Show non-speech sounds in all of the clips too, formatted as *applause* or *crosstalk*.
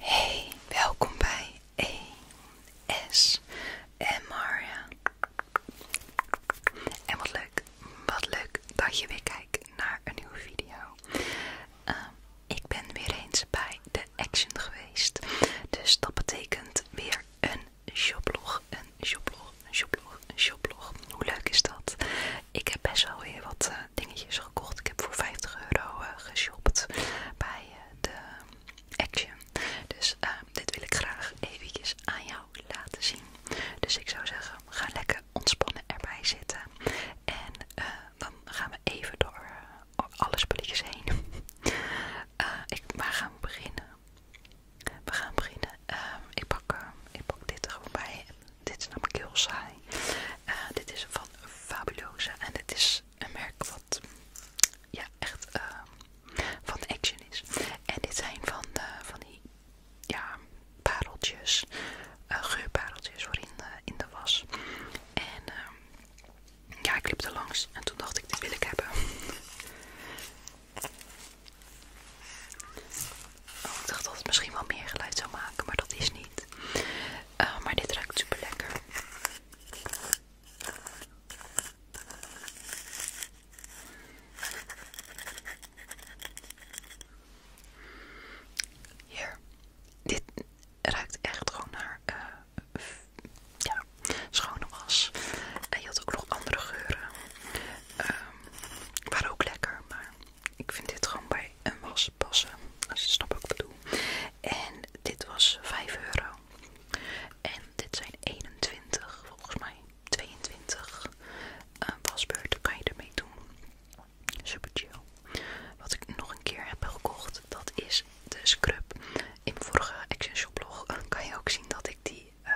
Hey, welkom bij ES en Maria. En wat leuk, wat leuk dat je weer kijkt naar een nieuwe video. Ehm, ik ben weer eens bij de Action geweest, dus dat betekent weer een shoplog, een shoplog, een shoplog, een shoplog. Hoe leuk is dat? Ik heb best wel weer wat eh, dingetjes gekocht. Ik heb voor 50 euro eh, geshopt bij eh, de Action. Dus ehm, dit wil ik graag eventjes aan jou laten zien. Dus ik zou zeggen, ga lekker ontspannen erbij zitten. En dan gaan we even door alle spulletjes heen. Maar *laughs* waar gaan we beginnen? We gaan beginnen. Ehm, ik, pak, ik pak dit er gewoon bij. Dit is namelijk heel saai. Eh, dit is van fabulose en dit is een merk wat ja, echt ehm, van Action is. En dit zijn van, eh, van die ja, pareltjes, eh, geurpareltjes voor in de, in de was. En ehm, ja, ik liep er langs en toen dacht ik, dit wil ik hebben. Oh, ik dacht dat het misschien wel meer geluid zou maken, maar dat is niet. Eh, maar dit ruikt super lekker. Hier. Dit ruikt echt gewoon naar eh, ja, schone was. En je had ook nog andere geuren. Ehm, waren ook lekker, maar ik vind dit gewoon bij een was passen. Als je het wat ik bedoel. En dit was 5 euro. En dit zijn 21, volgens mij 22 eh, wasbeurten kan je ermee doen. Super chill. Wat ik nog een keer heb gekocht, dat is de scrub. In mijn vorige Action Shop blog eh, kan je ook zien dat ik die eh,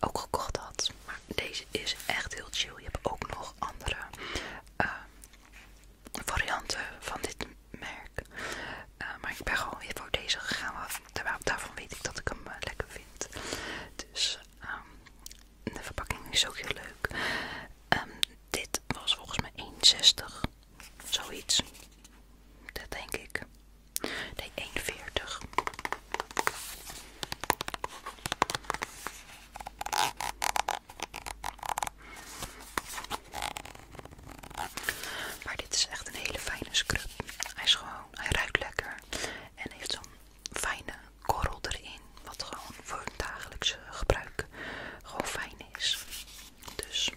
ook gekocht had. Maar deze is echt heel chill. Je hebt ook nog andere ehm, varianten van dit merk. Eh, maar ik ben gewoon weer voor deze gegaan. Terwijl daarvan weet ik dat ik hem eh, lekker vind. Dus ehm, de verpakking is ook heel leuk. Ehm, dit was volgens mij 1,60. Zoiets. Dat denk ik. Nee, 1,40. Maar dit is echt een hele fijne scrub. Hij is gewoon, hij ruikt lekker en heeft zo'n fijne korrel erin, wat gewoon voor het dagelijkse gebruik gewoon fijn is. Dus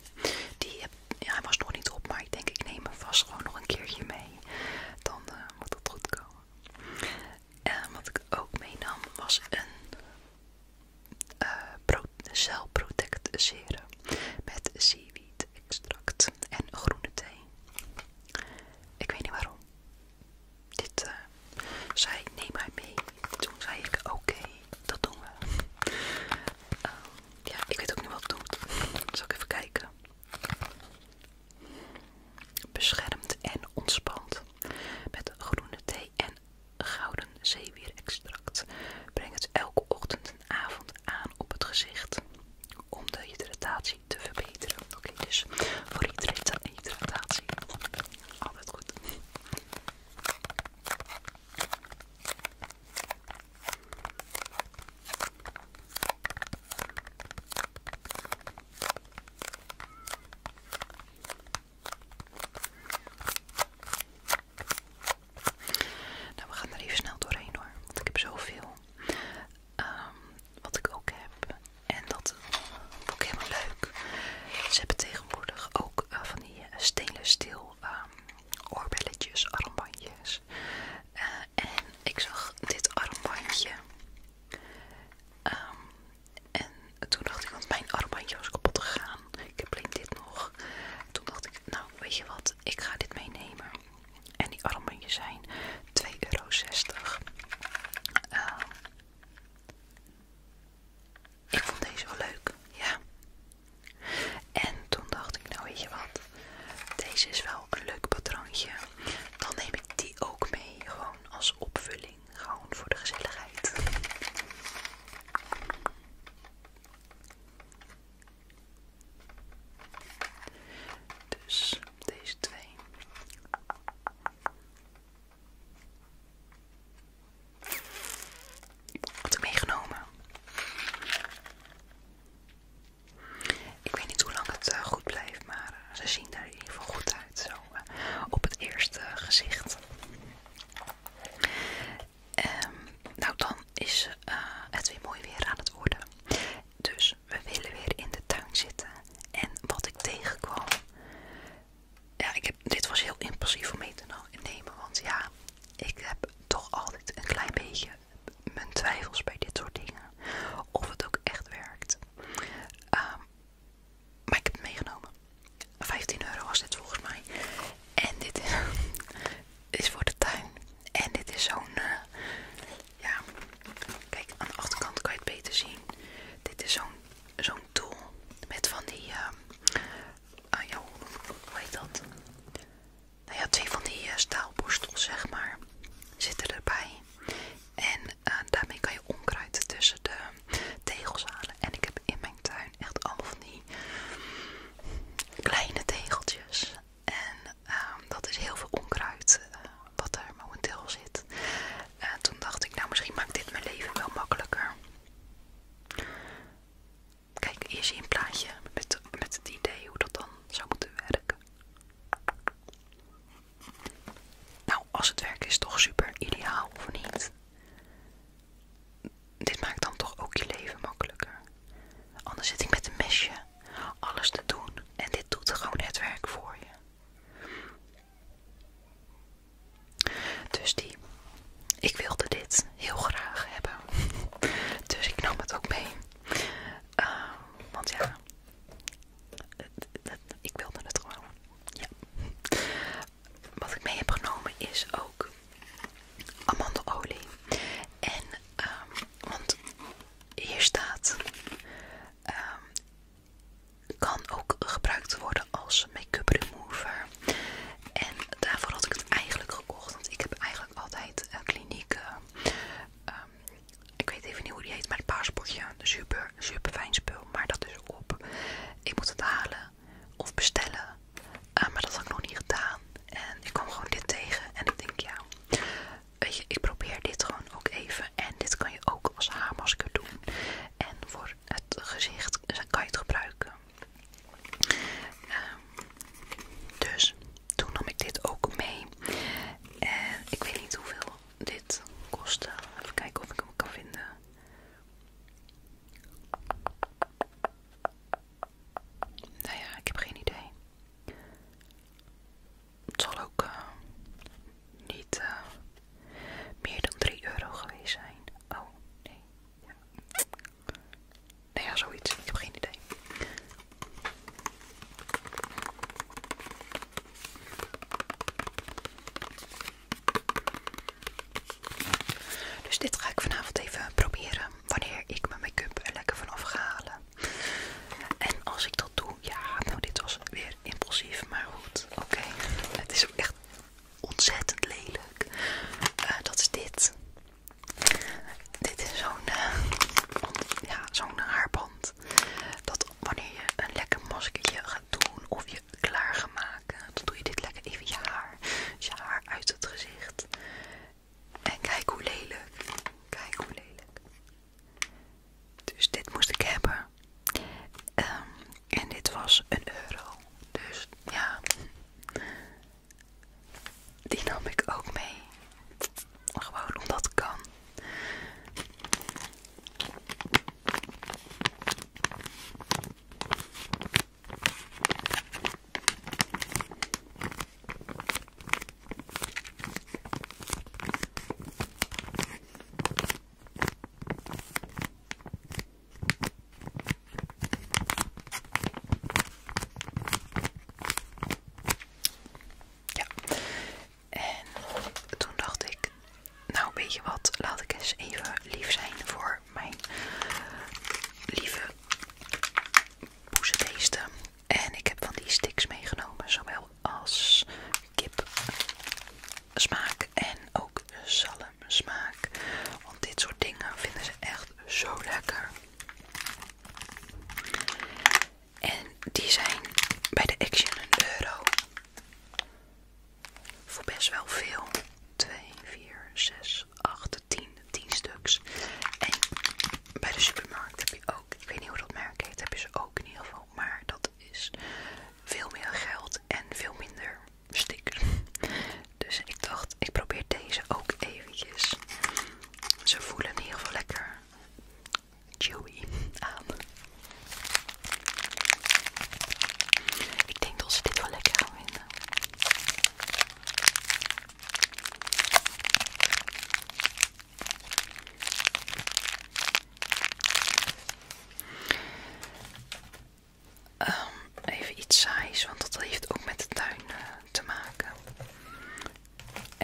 die ja, hij was nog niet op, maar ik denk ik neem hem vast gewoon nog een keertje mee. Dan eh, moet het goed komen. En wat ik ook meenam was een uh, Cell serum met seaweed extract en groene thee. Ik weet niet waarom. Dit uh, eh, zei neem maar mee. Toen zei ik oké, dat doen we. Ehm, ja, ik weet ook niet wat het doet. Zal ik even kijken. Beschermd en ontspant. Met groene thee en gouden zeewierextract. Breng het elke ochtend en avond aan op het gezicht. Om de hydratatie te verbeteren. Oké, dus voor hydratatie. Altijd goed. Nou, we gaan er even snel doorheen hoor, want ik heb zoveel ehm, wat ik ook heb. En dat vond ik helemaal leuk. Ze hebben tegenwoordig ook eh, van die eh, stelen stil ehm, oorbelletjes, armbandjes. Eh, en ik zag dit armbandje. Ehm en toen dacht ik, want mijn armbandje was kapot gegaan. Ik heb alleen dit nog. toen dacht ik, nou weet je wat, ik ga dit meenemen. En die armbandjes zijn 2,60 euro. Ehm, ik vond deze wel leuk, ja. En toen dacht ik, nou weet je wat, deze is wel een leuk patroontje. Dan neem ik die ook mee, gewoon als opvulling. Gewoon voor de gezelligheid. Dus deze twee. Had ik meegenomen. Ik weet niet hoe lang het eh, goed blijft, maar ze zien er even goed uit. Zo op het eerste gezicht. Ehm, nou, dan is eh, het weer mooi weer aan het worden. Dus we willen weer in de tuin zitten. En wat ik tegenkwam. Ja, ik heb, dit was heel impulsief om mee te nemen. Want ja, ik heb toch altijd een klein beetje mijn twijfels bij dit soort dingen. Of het ook echt werkt. Ehm, maar ik heb het meegenomen. 15 euro was dit volgens mij. En dit is, *laughs* voor de tuin. En dit is zo'n. Eh, ja, kijk, aan de achterkant kan je het beter zien. Dit is zo'n zo'n tool met van die. Ehm, ah, ja, hoe heet dat? Nou ja, twee van die uh, staalborstels, zeg maar, zitten erbij. En daarmee kan je onkruid tussen de tegels halen. En ik heb in mijn tuin echt allemaal van die kleine tegeltjes. En ehm, dat is heel veel onkruid eh, wat er momenteel zit. En toen dacht ik, nou misschien maakt dit mijn leven wel makkelijker. Kijk, eerst zie je een plaatje met, met het idee hoe dat dan zou moeten werken. Nou, als het werk is toch super ideaal of niet? Dit maakt dan toch ook je leven makkelijker. Anders zit ik met een mesje alles te doen en dit doet gewoon het werk voor je. Dus die, ik wilde dit heel graag hebben. *laughs* Dus ik nam het ook mee. Ehm, want ja, ik wilde het gewoon. Ja. Wat ik mee heb genomen is ook amandelolie. En, ehm, want hier staat, ehm, kan ook gebruikt worden als make-up remover. En daarvoor had ik het eigenlijk gekocht, want ik heb eigenlijk altijd klinieke kliniek, ehm, ik weet even niet hoe die heet, maar het paaspotje, de super super, fijn spul. Maar dat is op. Ik moet het halen of bestellen. Eh, maar dat had ik nog niet gedaan. En ik kwam gewoon dit tegen. En dan denk, ik ja, weet je, ik probeer dit gewoon ook even. En dit kan je ook als haarmasker doen. En voor het gezicht kan je het gebruiken. Ehm, dus toen nam ik dit ook mee. En ik weet niet hoeveel dit kostte. Even kijken of ik hem kan vinden. Nou ja, ik heb geen idee. Het zal ook eh, niet eh, meer dan 3 euro geweest zijn. Oh, nee. Ja. Nou ja, zoiets. Ik heb geen idee. Dus dit ga ik vanavond even proberen wanneer ik mijn make-up er lekker vanaf ga halen. En als ik dat doe, ja, nou dit was weer impulsief, maar goed, oké. Het is ook echt ontzettend lelijk. Eh, dat is dit. Dit is zo'n eh, ja, zo'n haarband. Dat wanneer je een lekker maskertje gaat doen of je klaar gaat maken, dan doe je dit lekker even je haar, je haar uit het gezicht. En kijk hoe lelijk, kijk hoe lelijk. Dus dit moest ik hebben. Ehm, en dit was een euro. Dus ja, die nam ik ook mee. Gewoon omdat het kan. Ja, en toen dacht ik, nou, weet je wat? Laat ik eens even lief zijn voor mijn lieve boezebeesten. En ik heb van die sticks meegenomen, zowel als kip smaak en ook zalm smaak. Want dit soort dingen vinden ze echt zo lekker. En die zijn bij de Action een euro voor best wel veel. 2, 4, 6, 8, 10, 10 stuks. En bij de supermarkt heb je ook, ik weet niet hoe dat merk heet, heb je ze ook in ieder geval. Maar dat is veel meer geld en veel minder stickers. *laughs* Dus ik dacht, ik probeer deze ook eventjes. Ze voelen in ieder geval lekker chewy aan. Ik denk dat ze dit wel lekker gaan vinden. Ehm, even iets saais, want dat heeft ook met de tuin eh, te maken. *laughs*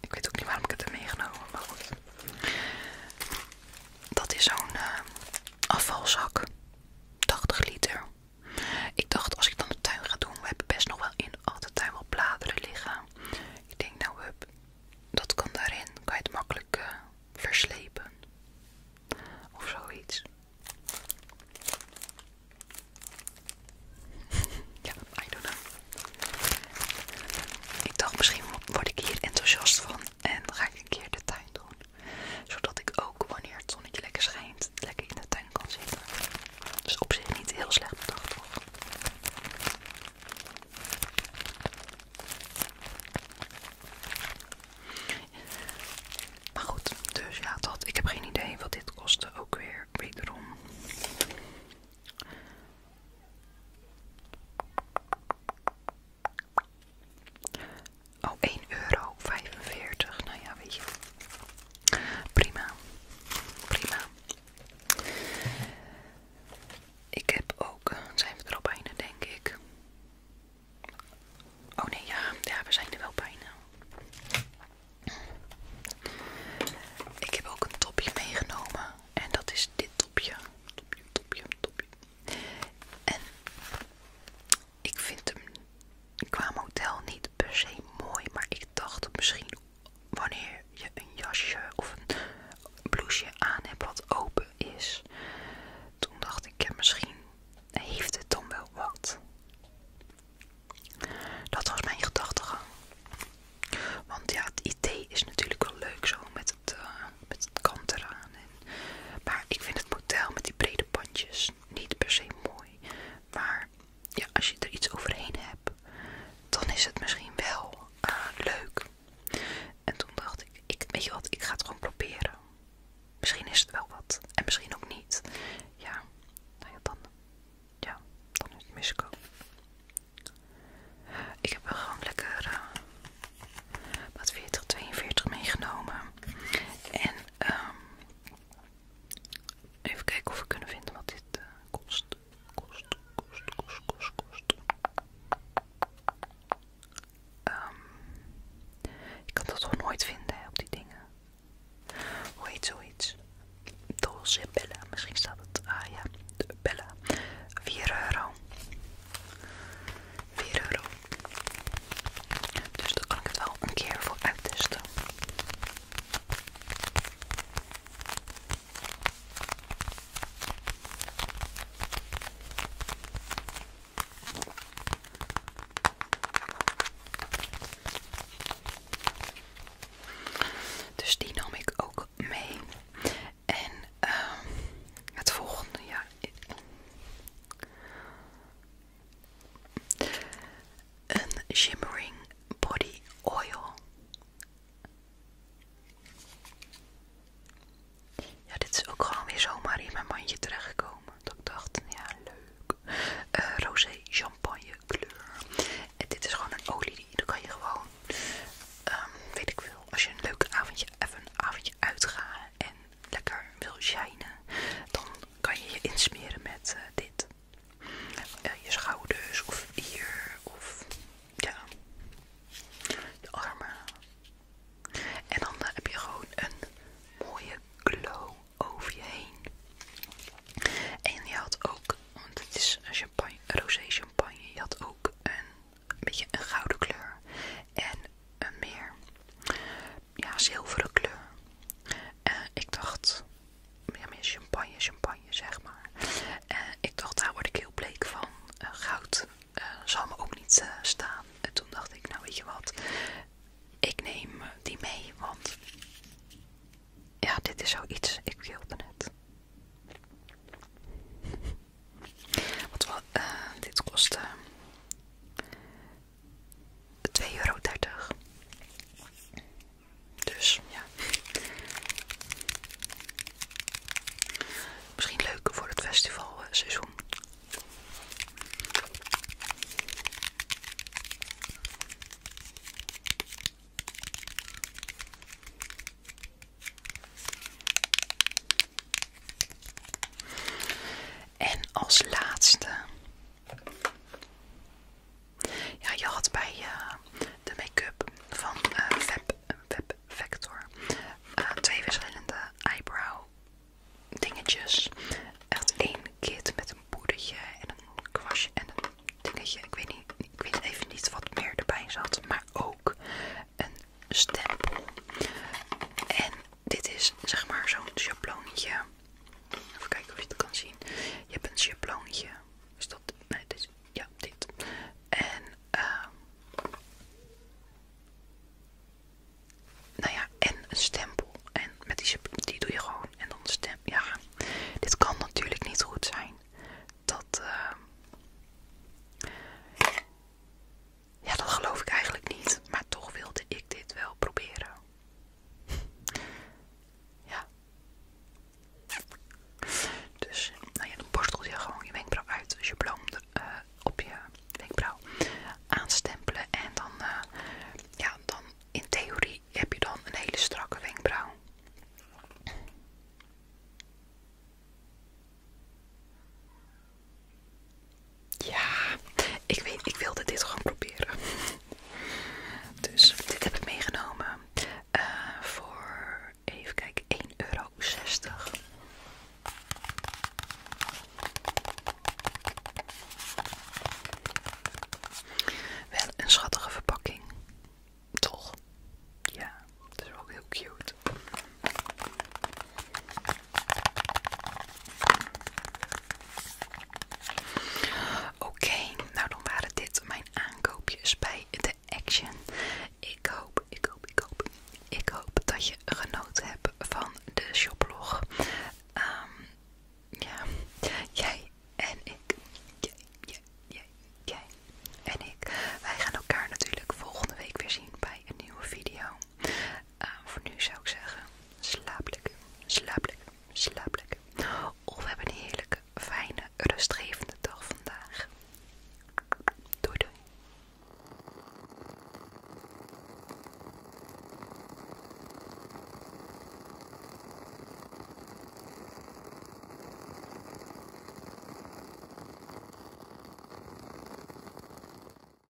ik weet ook niet waarom ik het heb meegenomen, maar goed. Dat is zo'n eh, afvalzak. 80 liter. Ik dacht, als ik dan de tuin ga doen, we hebben best nog wel in al de tuin wel bladeren liggen. Ik denk, nou, hup, dat kan daarin. Kan je het makkelijk eh, verslepen of zoiets. *laughs* ja, I don't know. Ik dacht, misschien word ik hier enthousiast van. En dan ga ik een keer de tuin doen. Zodat ik ook wanneer het zonnetje lekker schijnt, lekker in de tuin kan zitten. Dus op zich niet heel slecht bedacht hoor. Maar goed, dus ja, dat. Ik heb geen idee wat dit kostte. Ook weer wederom. Oh, 1,45 euro. Nou ja, weet je. Prima. Prima. Ik heb ook... Zijn we er al bijna, denk ik? Oh nee, ja. Ja, we zijn er wel bijna. Ik heb ook een topje meegenomen. En dat is dit topje. Topje, topje, topje. En ik vind hem qua model niet per se mooi, maar ik dacht misschien wanneer je een jasje of een blouseje aan hebt wat open is, toen dacht ik, ja, misschien heeft het dan wel wat. Dat was mijn gedachtegang. Want ja, het idee is natuurlijk wel leuk zo met het eh, met het kant eraan. maar ik vind het model met die brede bandjes niet per se mooi. Maar ja, als je er iets overheen hebt, dan is het misschien wel eh, leuk. En toen dacht ik, ik, weet je wat, ik ga het gewoon proberen. Misschien is het wel wat. En misschien ook niet. Ja, nou ja, dan, ja, dan is het miskoop. Ik heb wel gewoon lekker eh, wat 40, 42 meegenomen. En ehm, even kijken of we kunnen vinden wat dit eh, kost. Kost, kost, kost, kost, kost. ik ehm, kan dat toch nooit vinden op die dingen. Hoe heet zoiets? Dolce bellen, Misschien staat het. Ah ja, de Bella. 4 euro. 4 euro. Dus daar kan ik het wel een keer voor uittesten. Dus die nam ik ook mee. En ehm, het volgende, ja, een shimmering body oil. Ja, dit is ook gewoon weer zomaar in mijn mandje terechtgekomen. Dat ik dacht, ja leuk. Eh, Rosé champagne kleur. En dit is gewoon een olie die dan kan je gewoon, ehm, weet ik veel, als je een leuk avondje, even avondje uitgaan lekker wil shinen, dan kan je je insmeren met eh, dit. Eh, je schouders of hier of ja, je armen. En dan eh, heb je gewoon een mooie glow over je heen. En je had ook, want het is champagne, rosé champagne, je had ook een een beetje een gouden kleur en een meer ja, zilveren kleur. En eh, ik dacht, ja, meer champagne, champagne zeg maar. En eh, ik dacht, daar word ik heel bleek van. Eh, goud zal me ook niet staan. En toen dacht ik, nou weet je wat, ik neem die mee, want ja, dit is zoiets, ik wilde net. Wat, uh, dit kostte uh, 2,30 euro. Dus ja. Misschien leuk voor het festivalseizoen. En als laatste. Ja, je had bij eh, de make-up van eh, Fab Web, Vector eh, twee verschillende eyebrow dingetjes. Echt één kit met een poedertje en een kwastje en een dingetje. Ik weet, niet, ik weet even niet wat meer erbij zat. Maar ook een stempel. En dit is zeg maar zo'n schabloontje. Even kijken of je het kan zien. Je hebt een schabloontje. Is dus dat? Nee, dit. Ja, dit. En ehm, nou ja, en een stempel. En met die, die doe je gewoon. En dan stempel. Ja, dit kan natuurlijk niet goed zijn. Dat. Ehm, ja, dat geloof ik eigenlijk niet, maar toch wilde ik dit wel proberen. *laughs* ja. Dus, nou dan borstel je gewoon je wenkbrauw uit. als dus je bloem eh, op je wenkbrauw aanstempelen. En dan, eh, ja, dan in theorie heb je dan een hele strakke wenkbrauw. Ja, ik weet, ik wilde dit gewoon proberen. Dus dit heb ik meegenomen eh, voor, even kijken, 1,60 euro. Wel een schattige verpakking, toch? Ja, het is ook heel cute. Oké, nou dan waren dit mijn aankoopjes bij de Action. Ik hoop, ik hoop, ik hoop, ik hoop dat je genoten hebt van de shoplog. Ehm, ja, jij en ik, jij, jij, jij, jij en ik, wij gaan elkaar natuurlijk volgende week weer zien bij een nieuwe video. Eh, voor nu zou ik zeggen, slaap lekker, slaap lekker, slaap Of oh, we hebben een heerlijke, fijne, rustgevende dag vandaag. Doei doei.